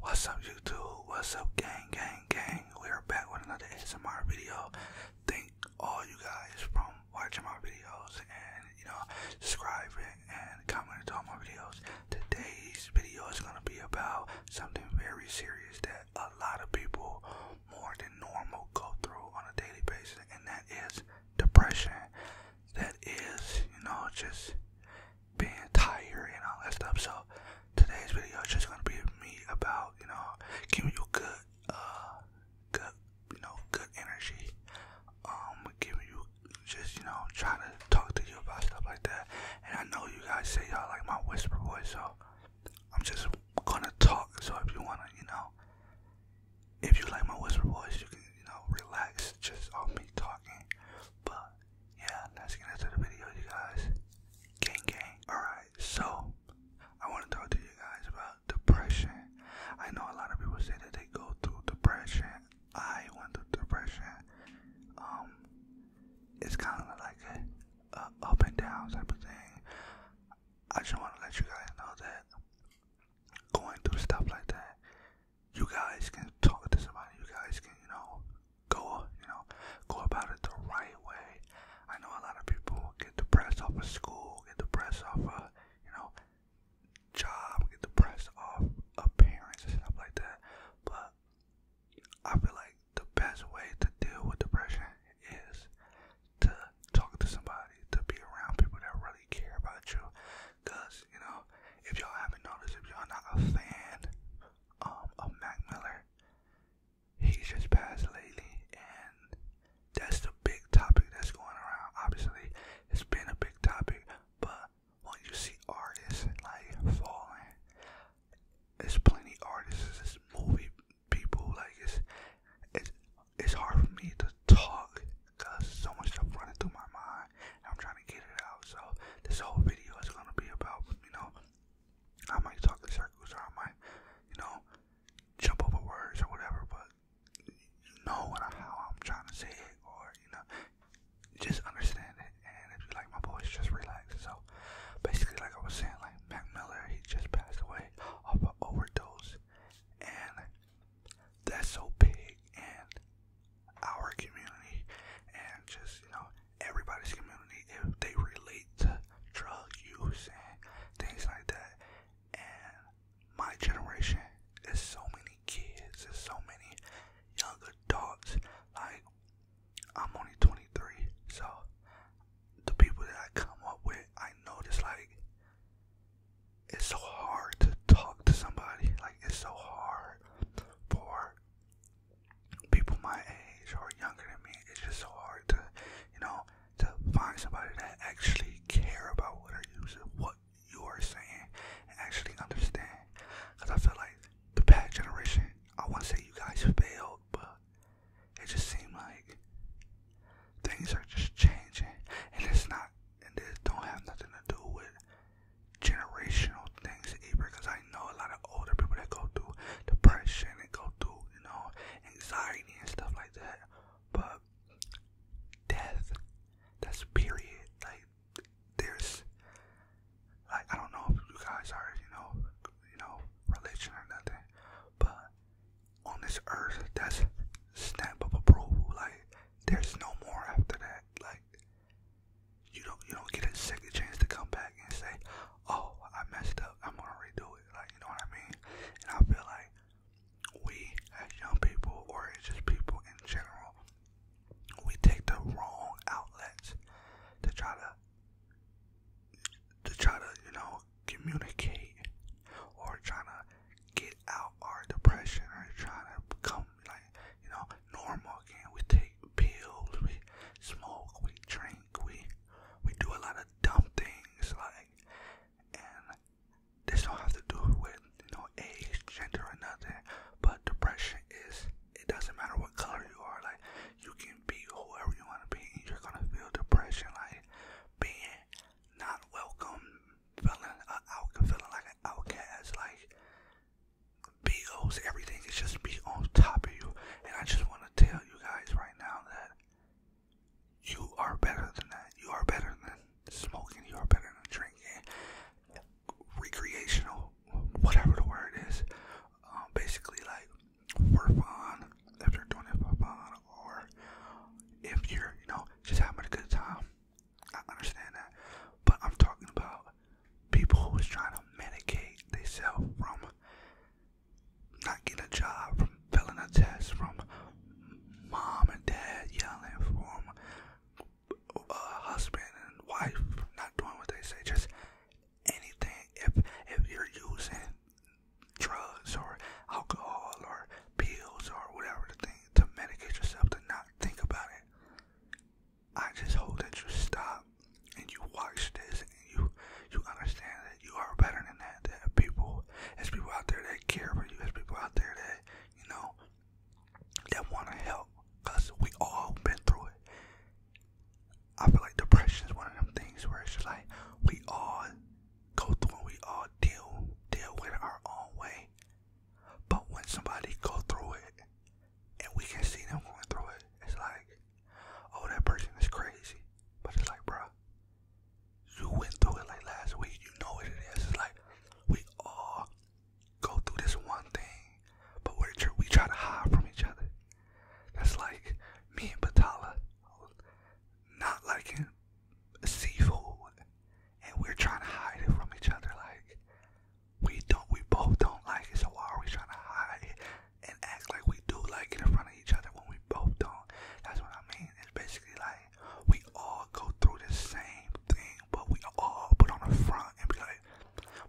What's up, YouTube? What's up, gang, gang, gang? We are back with another S M R video. Thank all you guys for watching my videos and you know subscribing and commenting to all my videos today's video is going to be about something very serious that a lot of people more than normal go through on a daily basis, and that is depression. That is, you know, just being tired and all that stuff. So, today's video is just going to be me about, you know, giving you good, uh, good, you know, good energy. Um, giving you just, you know, trying to talk to you about stuff like that. And I know you guys say y'all like my whisper voice, so I'm just gonna talk. So if you wanna, you know, if you like my whisper voice, you can, you know, relax just on me talking. But yeah, let's get into the video, you guys. Gang, gang. Alright, so I wanna talk to you guys about depression. I know a lot of people say that they go through depression. I went through depression. Um, it's kind of like a, up and down type of thing. I just want to let you guys know that going through stuff like that, you guys can talk to somebody. You guys can, you know, go, you know, go about it the right way. I know a lot of people get depressed off of school, get depressed off of, you know, job, get depressed off of parents and stuff like that. But I feel like the best way to deal with depression is to talk to somebody, to be around people that really care about you. Cause, you know, if y'all haven't noticed, if y'all not a fan um, of Mac Miller, he's just passed lately and that's the big topic that's going around. Obviously, it's been a big topic, but when you see artists like falling, there's plenty artists, movie people, like it's it's it's hard for me to talk because so much stuff running through my mind and I'm trying to get it out. So this whole video is gonna be about, you know, I might talk in circles or I might, you know, jump over words or whatever, but you know how I'm trying to say it or, you know, just understand it. And if you like my boys, just relax. So basically, like I was saying, like Mac Miller, he just passed away of an overdose, and that's so big and our community and just you know everybody's community if they relate to drug use and things like that and my generation is so many kids there's so many young adults like I'm only 23, so the people that I come up with, I notice like it's so hard to talk to somebody. Like it's so hard for people my age or younger than me. It's just so hard to, you know, to find somebody that actually care about what are you what you are saying and actually understand. Cause I feel like the pack generation, I want to say you guys failed, but it just seems like things are just changing, and it's not, and it don't have nothing to do with generational things either. Because I know a lot of older people that go through depression and go through, you know, anxiety and stuff like that, but death, that's period, like there's like I don't know if you guys are you know you know religion or nothing, but on this earth that's stamp of approval. Like there's no more after that. Like you don't you don't get a second chance to come back and say, oh I messed up. I'm gonna redo it. Like you know what I mean? And I feel like we as young people or it's just people in general we take the wrong outlets to try to to try to you know communicate or trying to get out our depression or trying to become like you know normal again. We take pills, we smoke, we drink, we we do a lot of dumb things like this don't have to do with you know age, gender, or nothing. But depression is it doesn't matter what color you are. Like you can be whoever you want to be, and you're gonna feel depression. Like being not welcome, feeling out, feeling like an outcast. Like BOs, everything is just be on top of you. And I just want to tell you guys right now that you are better than that. You are better than smoking. You are better than drinking recreational, whatever the word is. Um, basically, like for fun, if you're doing it for fun, or if you're, you know, just having a good time. I understand that, but I'm talking about people who is trying to medicate themselves from not getting a job, from filling a test, from mom and dad yelling, from uh, husband and wife not doing what they say, just anything. If if you're using drugs or alcohol or pills or whatever the thing to medicate yourself to not think about it, I just hope that you stop and you watch this and you you understand that you are better than that. That people, there's people out there that care for you. There's people out there that you know that want to help because we all been through it. I feel like depression is one of them things where it's just like we all go through and we all deal deal with it our own way. But when somebody go through it and we can see them going through it, it's like, oh that person is crazy. But it's like, bruh, you went through it like last week. You know what it is. It's like we all go through this one thing, but we're we try to hide from each other. That's like me and Batala not liking seafood, and we're trying to hide it from each other. Like we don't, we both don't like it. So why are we trying to hide it and act like we do like it in front of each other when we both don't? That's what I mean. It's basically like we all go through the same thing but we all put on a front and be like,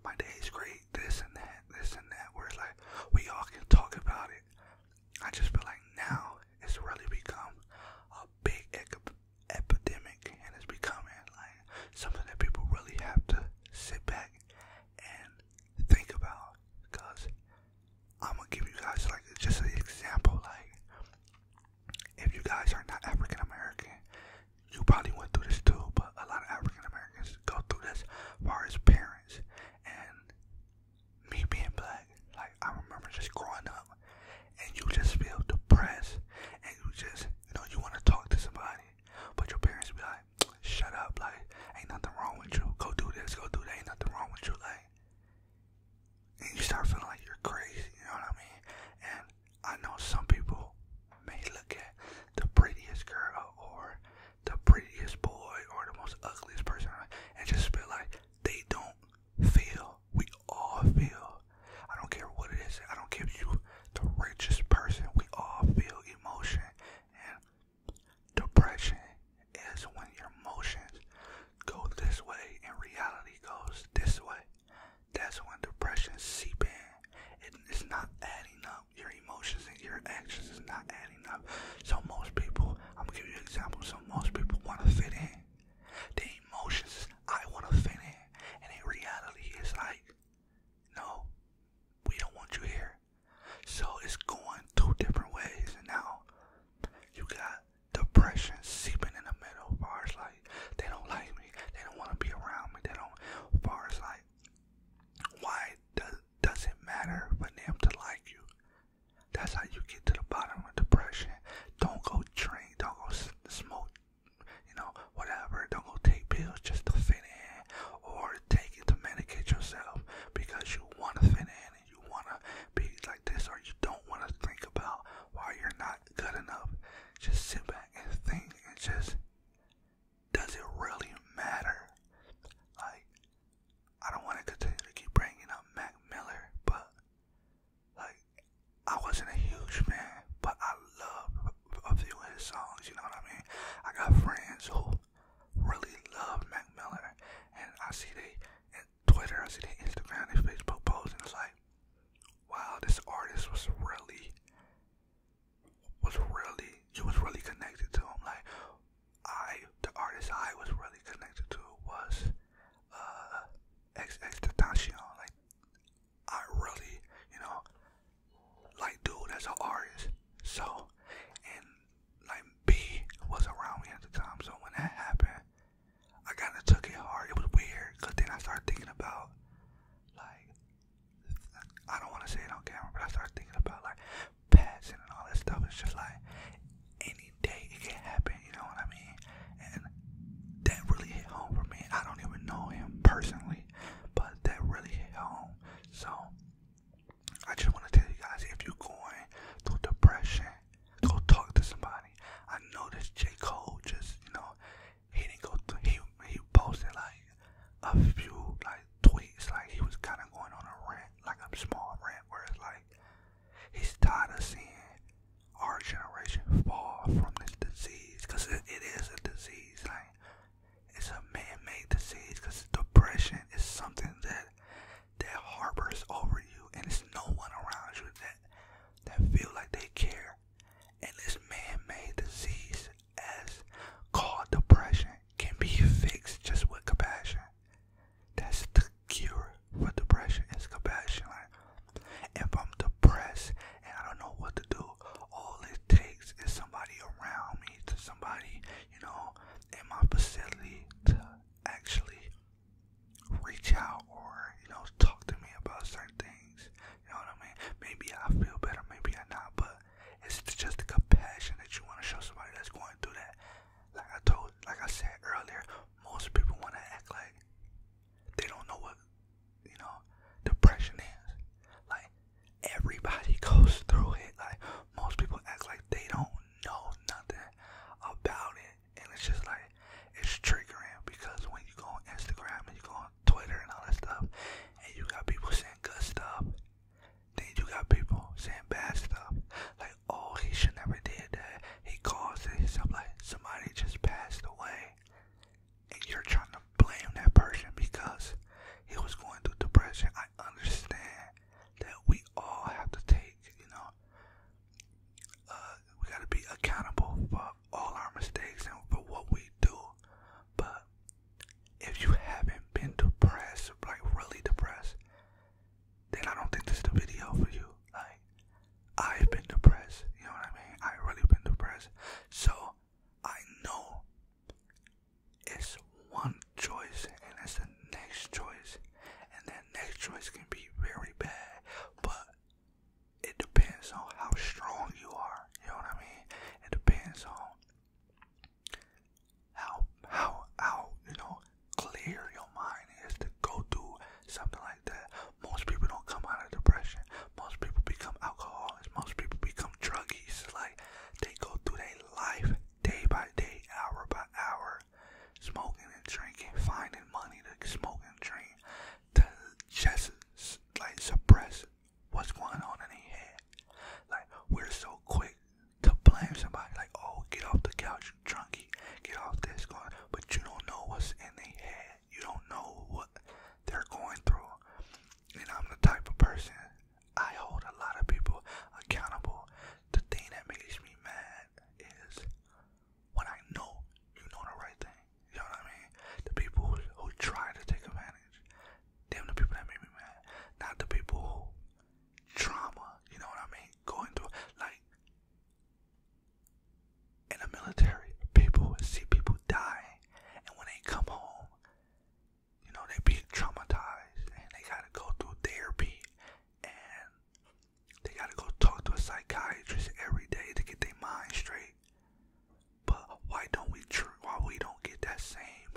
my day is great, this and that, this and that. Where it's like, we all can talk about it. I just feel like now it's really become a big epidemic and it's becoming like something that people really have to sit back and think about. Because I'm gonna give you guys like just an example, like if you guys are not African American, you probably went through this too, but a lot of African Americans go through this far as parents and me being black. Like, I remember just growing up and you just feel depressed and you just, you know, you want to talk to somebody, but your parents be like, shut up, like, ain't nothing wrong with you. Go do this, go do that, ain't nothing wrong with you. Like, and you start feeling like you're crazy, you know what I mean? I know some people may look at the prettiest girl or the prettiest boy or the most ugliest person and just feel like they don't feel. We all feel. I don't care what it is. I don't care if you the richest person. We all feel emotion and depression is when your emotions go this way and reality goes this way. That's when depression seep in. it's not adding up. Your emotions and your actions is not adding up. So most people, I'm gonna give you an example. So most people want to fit in. The emotions, I want to fit in, and in reality, it's like, no, we don't want you here. So it's going two different ways, and now you got depression seeping in the middle. of Bars like like they don't like me. They don't want to be around me. They don't. As far as like, why does does it matter for them to like you? That's how you get to the bottom of depression. Don't go drink. Don't go smoke. You know, whatever. Don't go take pills just to fit in, or take it to medicate yourself because you want to fit in and you want to be like this, or you don't want to think about why you're not good enough. Just sit back and think and just does it really matter? Like, I don't want to continue to keep bringing up Mac Miller, but like, I wasn't a huge fan, but I love a few of his songs. You know what I mean? I got friends who really love Mac Miller, and I see they in Twitter, I see they Instagram, they Facebook posts, and it's like, wow, this artist was really, was really, you was really connected to him. Like, I, the artist I was really connected to was uh, XX Tentacion. Like, I really, you know, like, dude, as an artist. So, and like, B was around me at the time. So, when that happened, I kind of took it hard. It was weird because then I started thinking about, like, I don't want to say it on camera, but I started thinking about, like, passing and all that stuff. It's just like, any day it can happen, you know what I mean? And that really hit home for me. I don't even know him personally, but that really hit home. So, I just want to tell you guys if you're going through depression, go talk to somebody. I know this J. Cole just, you know, he didn't go he he posted like a few like tweets like he was kinda going on a rant, like a small rant where it's like he's tired of seeing our generation fall from this disease because it is a disease like it's a man-made disease because depression is something that that harbors over you and it's no one around you that that feel like they care and this man-made disease as called depression can be fixed just with compassion. That's the cure for depression is compassion. Like, if I'm depressed and I don't know what to do, all it takes is somebody around me to somebody, you know, in my facility to actually reach out or, you know, talk to me about certain things. You know what I mean? Maybe I feel better, maybe I not, but it's just the compassion that you want to show somebody that's going through that. Like I told, like I said earlier, most people want to act like they don't know what, you know, depression is. Like everybody goes through it. Like most people act like they don't know nothing about it and it's just like it's triggering because when you go on Instagram and you go on Twitter and all that stuff, and you got people saying good stuff, then you got people saying bad stuff. Like, oh, he should never did that. He caused it. So I'm like, somebody just passed away, and you're trying to blame that person because he was going through depression. I understand that we all have to take, you know, uh, we gotta be accountable for all our mistakes and for what we do. But if you haven't been depressed, like really depressed, then I don't think this is the video for you. Like I've been depressed, you know what I mean? I really been depressed. So I know it's one choice and it's the next choice. And that next choice can be very bad. But it depends on how strong you are. You know what I mean? It depends on how how how you know clear your mind is to go do something like that. Most people don't come out of depression. Most people become alcoholics. Most people become druggies. Like they go through their life day by day, hour by hour, smoking and drinking, finding money to smoke and drink, to just like suppress what's going on in their head. Like we're so quick to blame somebody, like oh get off the couch, junkie, get off this going, but you don't know what's in their head. You don't know what they're going through. And I'm the type of person I hold a lot of people accountable. The thing that makes me mad is when I know you know the right thing. You know what I mean? The people who, try to take advantage, them the people that make me mad, not the people who trauma. You know what I mean? Going through like in the military, people see people die, and when they come home, you know they being traumatized and they gotta go through therapy and they gotta go talk to a psychiatrist every day to get their mind straight. But why don't we treat? Why we don't get that same,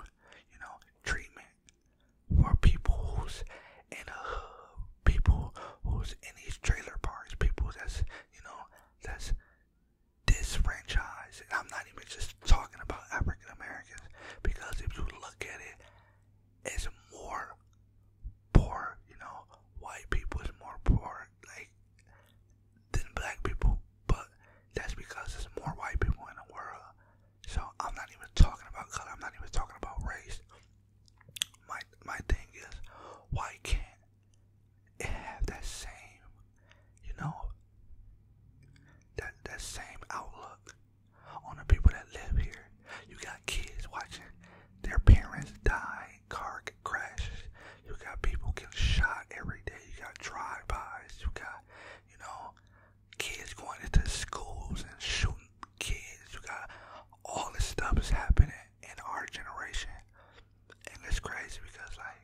you know, treatment for people who's in a hood, people who's in these trailer parks, people that's you know that's disfranchised. I'm not even just talking about African Americans because if you look at it, is more poor, you know, white people is more poor like than black people, but that's because there's more white people in the world. So I'm not even talking about color, I'm not even talking about race. My my thing is why can't it have that same you know that that same outlook on the people that live here. You got kids watching their parents die, car crashes. You got people getting shot every day. You got drive-bys. You got, you know, kids going into schools and shooting kids. You got all this stuff is happening in our generation, and it's crazy because like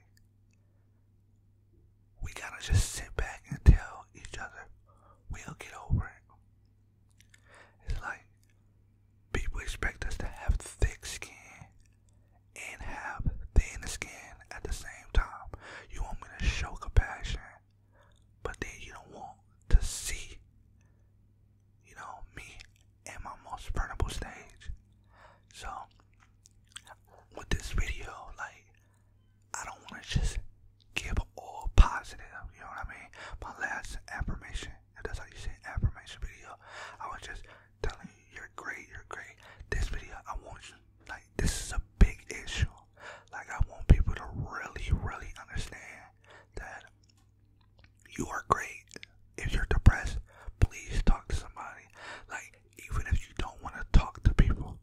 we gotta just sit back and tell each other we'll get over it. It's like people expect us to have thick skin and have thin skin at the same time. You want me to show compassion, but then you don't want to see, you know, me at my most vulnerable stage. So, with this video, like, I don't want to just give all positive, you know what I mean? My last affirmation if that's how you say affirmation video, I was just telling you you're great, you're great. This video, I want you like this is a big issue. Like I want people to really, really understand that you are great. If you're depressed, please talk to somebody. Like even if you don't want to talk to people,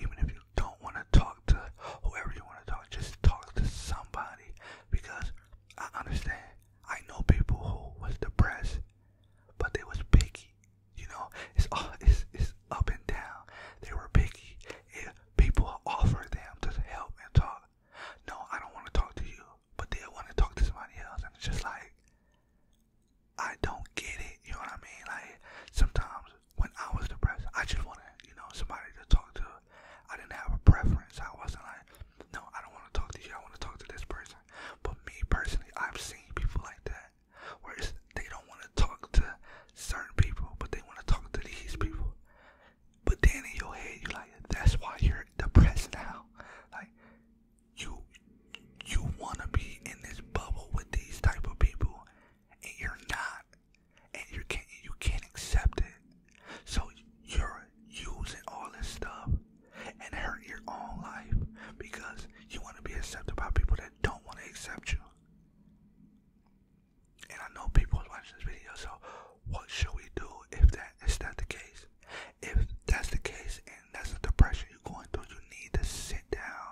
even if you don't want to talk to whoever you want to talk, just talk to somebody because I understand. I know people who was depressed, but they was picky. You know, it's all it's it's up and down. They were picky. If people offer them to help and talk. No, I don't want to talk to you, but they want to talk to somebody else, and it's just like I don't get it. You know what I mean? Like sometimes when I was depressed, I just want to, you know somebody to talk to I didn't have a preference. I wasn't like, no, I don't want to talk to you. I want to talk to this person. But me personally, I've seen people like that, where they don't want to talk to certain people, but they want to talk to these people. But then in your head, you're like, that's why you're depressed now. Like, you you want to be in this bubble with these type of people, and you're not and you can't you can't accept it. So you're using all this stuff and hurt your own life because you want to be accepted by people that don't want to accept you. And I know people watching this video, so what should we do if that is that the case? If that's the case and that's the pressure you're going through, you need to sit down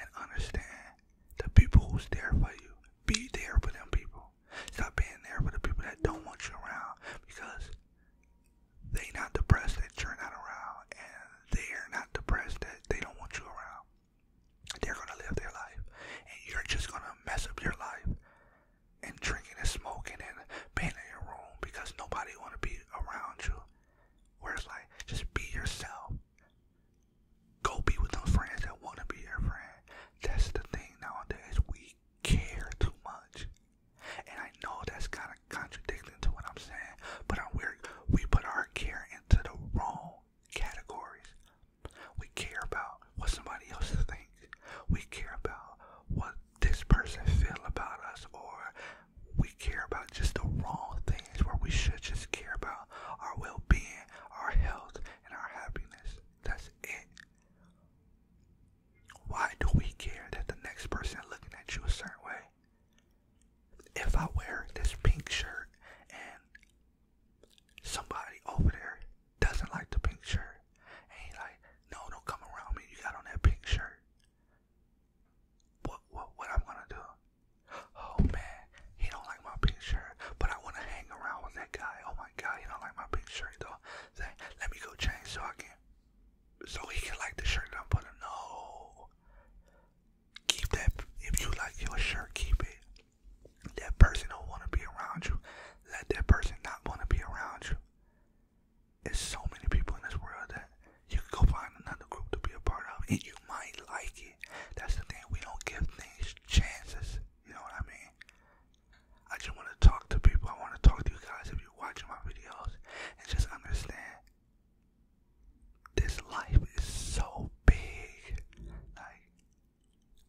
and understand the people who's there for you. Be there for them people. Stop being there for the people that don't want you around because they not depressed that you're not around and they're not depressed that they don't want you around. They're gonna live their life and you're just gonna mess up your life and drinking and smoking and being in your room because nobody wanna be around you. Where it's like just be yourself. Go be with those friends that want to be your friend. That's the thing nowadays. We care too much. And I know that's kind of contradicting to what I'm saying, but I'm weird. We put our care into the wrong categories. We care about what somebody else thinks. We care about what this person feel about us, or we care about just the wrong things where we should just care about our well-being, our health, and our happiness. That's it. Why do we care that the next person looking at you a certain way? If I wear this pink shirt and somebody over there doesn't like the pink shirt, and he like, no, don't come around me. You got on that pink shirt. What what what I'm gonna do? Oh man, he don't like my pink shirt, but I want to hang around with that guy. Oh my God, he don't like my pink shirt though. Say, let me go change so I can, so he can like the shirt that I'm putting. No, keep that. If you like your shirt, keep it. That person don't want to be around you. Let that person not want to be around you. There's so many people in this world that you can go find another group to be a part of, and you might like it. That's the thing. We don't give things chances. You know what I mean? I just want to talk to people. I want to talk to you guys if you're watching my videos and just understand this life is so big. Like,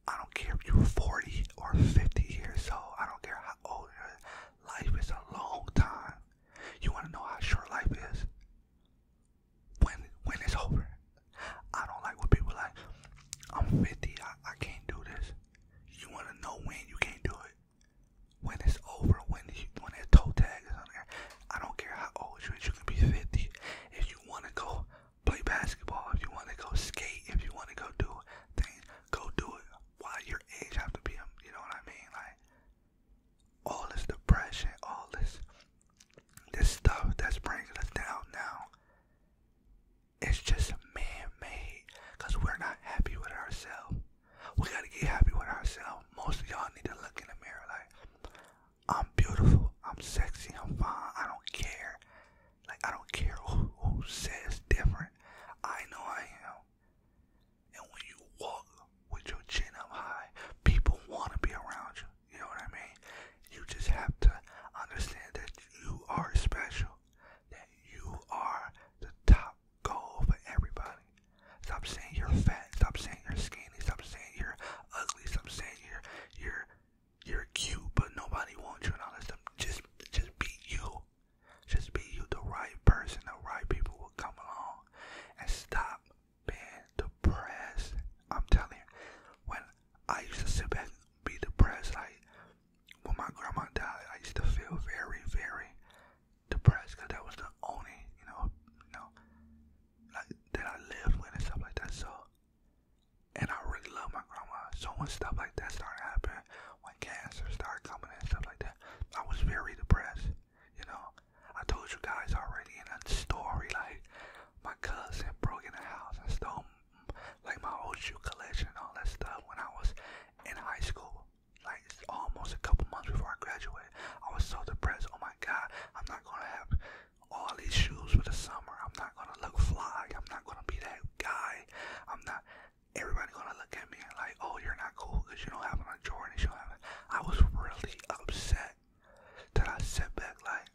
I don't care if you're 40 or 50 years old. I don't care how old you are. Life is a long time. You want to know how short life is? when when it's over. I don't like what people like. I'm 50. I, I can't do this. You want to know when you can't do it? When it's over. When you, when that toe tag is on there. I don't care how old you is. You can be 50. If you want to go play basketball, if you want to go skate, if you want to go do things, go do it. Why your age have to be? a? You know what I mean? Like all this depression, all this this stuff that's bringing us down now it's just man-made because we're not happy with ourselves we gotta get happy with ourselves most of y'all need to look in the mirror like i'm beautiful i'm sexy i'm fine i don't care like i don't care who, who says different i know i am and when you walk with your chin up high people want to be around you you know what I mean? You just have to understand that you are special, that you are the top goal for everybody. Stop saying you're fat. Stop saying you're skinny. Stop saying you're ugly. Stop saying you're you're you're cute, but nobody wants you and all that Just just be you. Just be you. The right person, the right people will come along, and stop been depressed. I'm telling you, when I used to sit back be depressed, like when my grandma died, I used to feel very, very depressed because that was the only, you know, you know, like that I lived with and stuff like that. So, and I really love my grandma. So when stuff like that started happening, when cancer started coming and stuff like that, I was very depressed. You know, I told you guys already in that story, like my cousin broke in the house and stole like my old shoe collection and all that stuff when I was in high school. Like almost a couple months before I graduated, I was so depressed. Oh my God, I'm not gonna have all these shoes for the summer. I'm not gonna look fly. I'm not gonna be that guy. I'm not. Everybody gonna look at me and like, oh, you're not cool because you don't have on a Jordan. You don't have. I was really upset that I sat back like,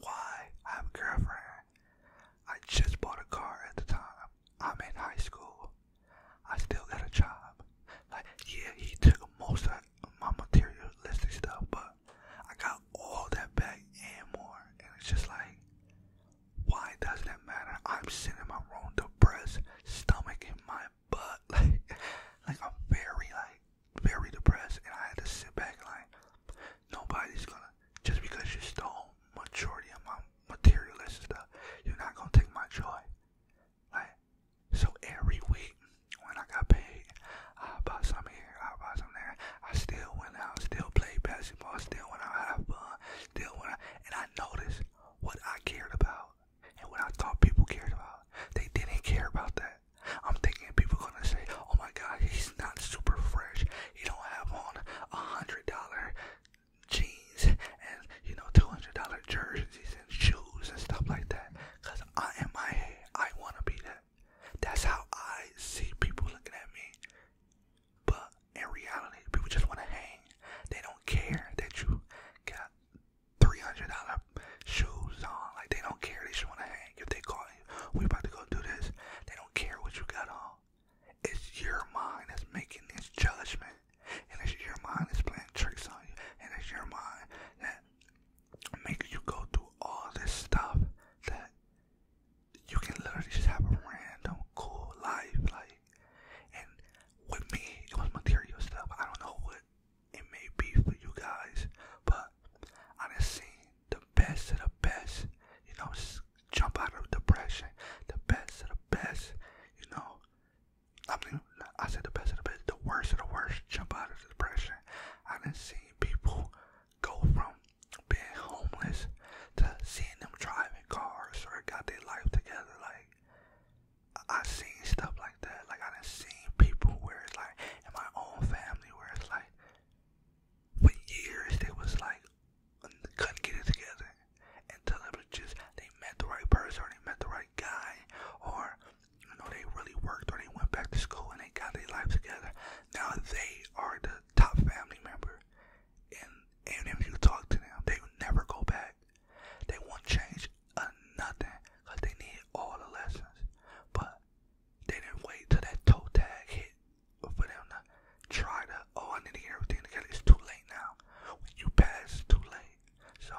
why? I have a girlfriend. I just bought a car at the time. I'm in high school. I still got a job. Like, yeah, he took most of my materialistic stuff, but I got all that back and more. And it's just like, why does that matter? I'm sitting in my room, depressed, stomach in my butt. Like, like I'm very like very depressed, and I had to sit back and like nobody's gonna just because you stole majority of my materialist stuff, you're not gonna take my joy. Like so every week when I got paid, I bought some here, I bought some there. I still went out, still played basketball, still went out, have fun, still went out, and I noticed what I cared about and what I thought people cared about. They didn't care about that. I'm thinking people are gonna say, "Oh my God, he's not super fresh. He don't have on a hundred dollar jeans and you know two hundred dollar jerseys and shoes and stuff like that." Cause I, in my head, I wanna be that. That's how I see people looking at me. But in reality, people just wanna hang. They don't care that you got three hundred dollar shoes on. Like they don't care. They just want to hang. If they call you, we about to go do this. They don't care what you got on. It's your mind that's making this judgment, and it's your mind that's playing tricks on you, and it's your mind that makes you go through all this stuff that you can literally just have a random cool life. Like, and with me, it was material stuff. I don't know what it may be for you guys, but I done seen the best of the best, you know, jump out of depression, the best of the best, you know. I mean, I said the best of the best, the worst of the worst, jump out of depression. I didn't see people go from being homeless to seeing them driving cars or got their life together. Like, I seen stuff like that. Like I done seen people where it's like in my own family where it's like for years they was like couldn't get it together until it was just they met the right person or they met the right guy or you know they really worked or they went back to school and they got their life together. Now they are the top family member and and if you talk to them they will never go back. They won't change or nothing because they need all the lessons. But they didn't wait till that toe tag hit for them to try to, oh, I need to get everything together. It's too late now. When you pass, it's too late. So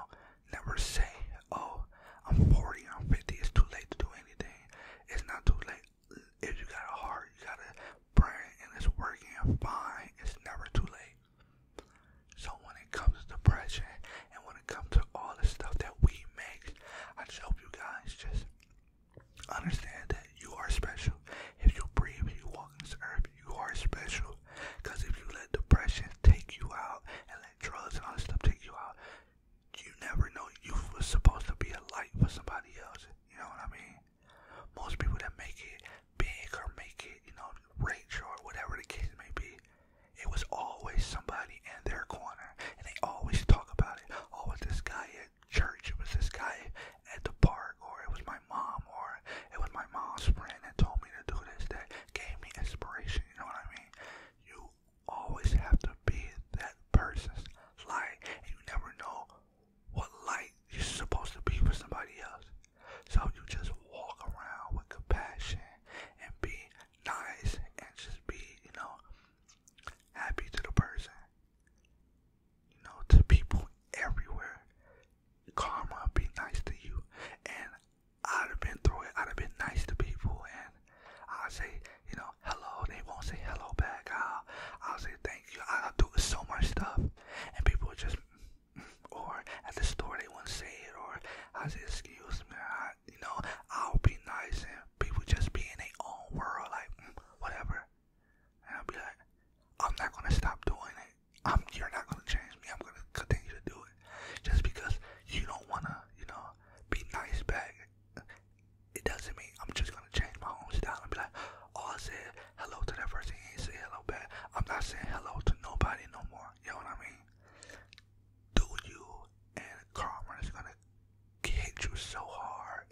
never say, oh, I'm 40, I'm 50, it's too late to do anything. It's not too late. If you got a heart, you got a brain, and it's working fine, it's never too late. So when it comes to depression and when it comes to all the stuff that we make, I just hope you guys just understand that you are special. If you breathe, you walk this earth, you are special. Because if you let depression take you out and let drugs and all this stuff take you out, you never know you was supposed to be a light for somebody else. You know what I mean? Most people that make it big or make it, you know, rich or whatever the case may be, it was always somebody in their corner, and they always talk about it. Oh, was this guy at church? It was this guy at the park, or it was my mom, or it was my mom's friend that told me to do this, that gave me inspiration. You know what I mean? You always have to be that person's light, and you never know what light you're supposed to be for somebody else. So you just walk around with compassion and be nice and just be, you know, happy to the person. You know, to people everywhere. Karma be nice to you. And I'd have been through it. I'd have been nice to people and I'll say, you know, hello. They won't say hello back. I'll, I'll say thank you. I'll do so much stuff. And people just, or at the store they won't say it. Or I'll say, excuse me. I you know, I'll be nice and people just be in their own world, like mm, whatever. And I'll be like, I'm not gonna stop doing it. I'm you're not gonna change me. I'm gonna continue to do it just because you don't wanna, you know, be nice back. It doesn't mean I'm just gonna change my own style and be like, oh, I said hello to that person. He ain't say hello back. I'm not saying hello to nobody no more. You know what I mean? do you, and karma is gonna hit you so hard,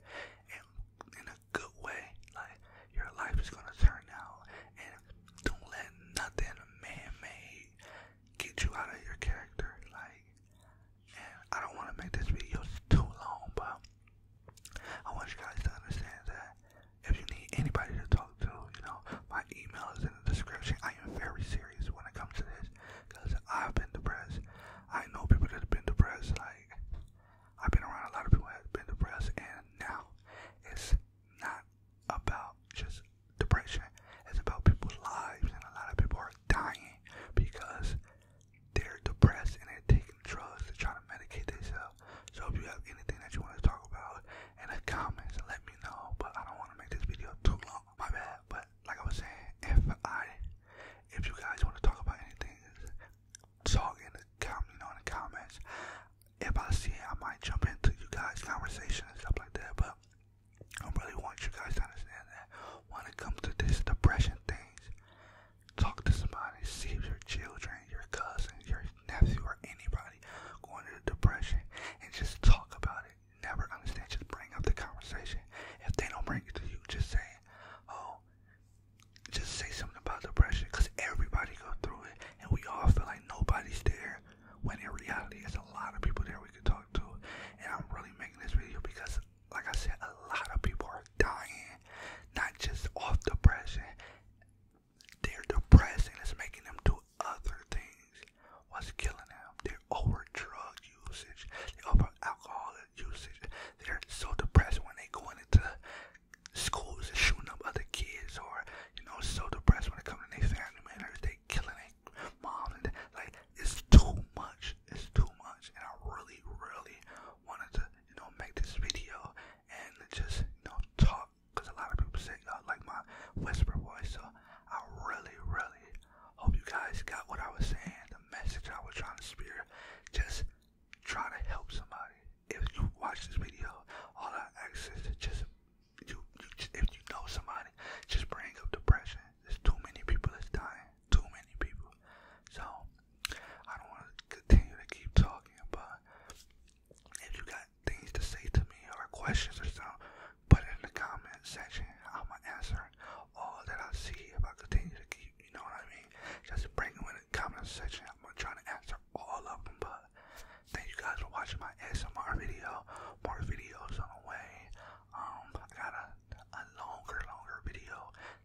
and in a good way, like your life is gonna turn out. And don't let nothing man-made get you out of your character. Like, I don't want to make this video too long, but I want you guys to understand that if you need anybody to talk out to, you know, my email is in the description. I am very serious when it comes to this because I've been depressed. I know people that have been depressed. Like, I've been around a lot of people that have been depressed, and now it's not about just depression, it's about people's lives, and a lot of people are dying because they're depressed and they're taking drugs to try to medicate themselves. So, if you have anything that you want to talk about, in the comments let me know. But I don't want to make this video too long. My bad. But like I was saying, if I, if you guys want to talk about anything, talk in the com, you know, in the comments. If I see I might jump into you guys' conversation and stuff like that. But I really want you guys to understand that when it comes to this depression things, talk to somebody. See if your children, your cousins, your nephew, or anybody going into depression and just talk about it. Never understand. Just bring up the conversation. If they don't bring it to you, just say, oh, just say something about depression because everybody go through it and we all feel like nobody's there when in reality there's a lot of people there we can talk to. And I'm really making this video because, like I said, a lot of people are dying, not just off depression they Their depressing It's making them do other things. What's killing them? They're over drug usage, their over alcohol usage. They're so depressed when they going into schools and shooting up other kids, or you know, so depressed when they come to their family members. They killing their mom, and like it's too much. It's too much, and I really, really wanted to you know make this video and just you know talk because a lot of people say uh, like my whisper voice. So I really, really hope you guys got what I was saying, the message I was trying to spear. Just try to help somebody. If you watch this video, all I ask just you, you if you know somebody, just bring up depression. There's too many people that's dying. Too many people. So I don't want to continue to keep talking, but if you got things to say to me or questions or something, put in the comment section. i answer all that I see if I continue to keep, you know what I mean? Just bring them the comment section. I'm gonna answer all of them, but thank you guys for watching my S.M.R. video. More videos on the way. Um, I got a, a longer, longer video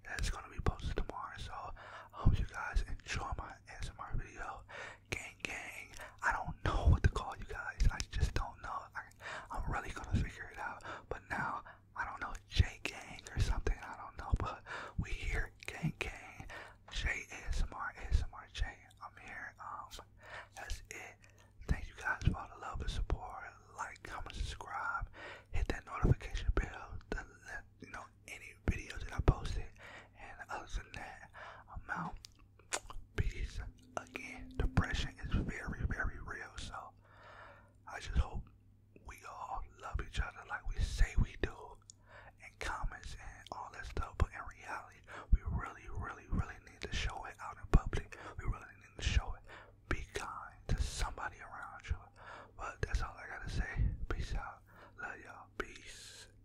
that's gonna be posted tomorrow, so hope you guys enjoy my S.M.R. video gang gang. I don't know what to call you guys. I just don't know. I, am really gonna figure it out. But now I don't know J gang or something. I don't know. But we here gang gang. J ASMR ASMR J. I'm here. Um, that's it. Thank you guys for all the love and support. Like, comment, subscribe, hit that notification bell to let you know any videos that I posted. And other than that, I'm out. Peace. Again, depression is very, very real. So I just hope we all love each other like we say we do in comments and all that stuff. But in reality, we really, really, really need to show it out in public. We really need to show it. Be kind to somebody around you. But that's all I gotta say. Peace out. Love y'all. Peace.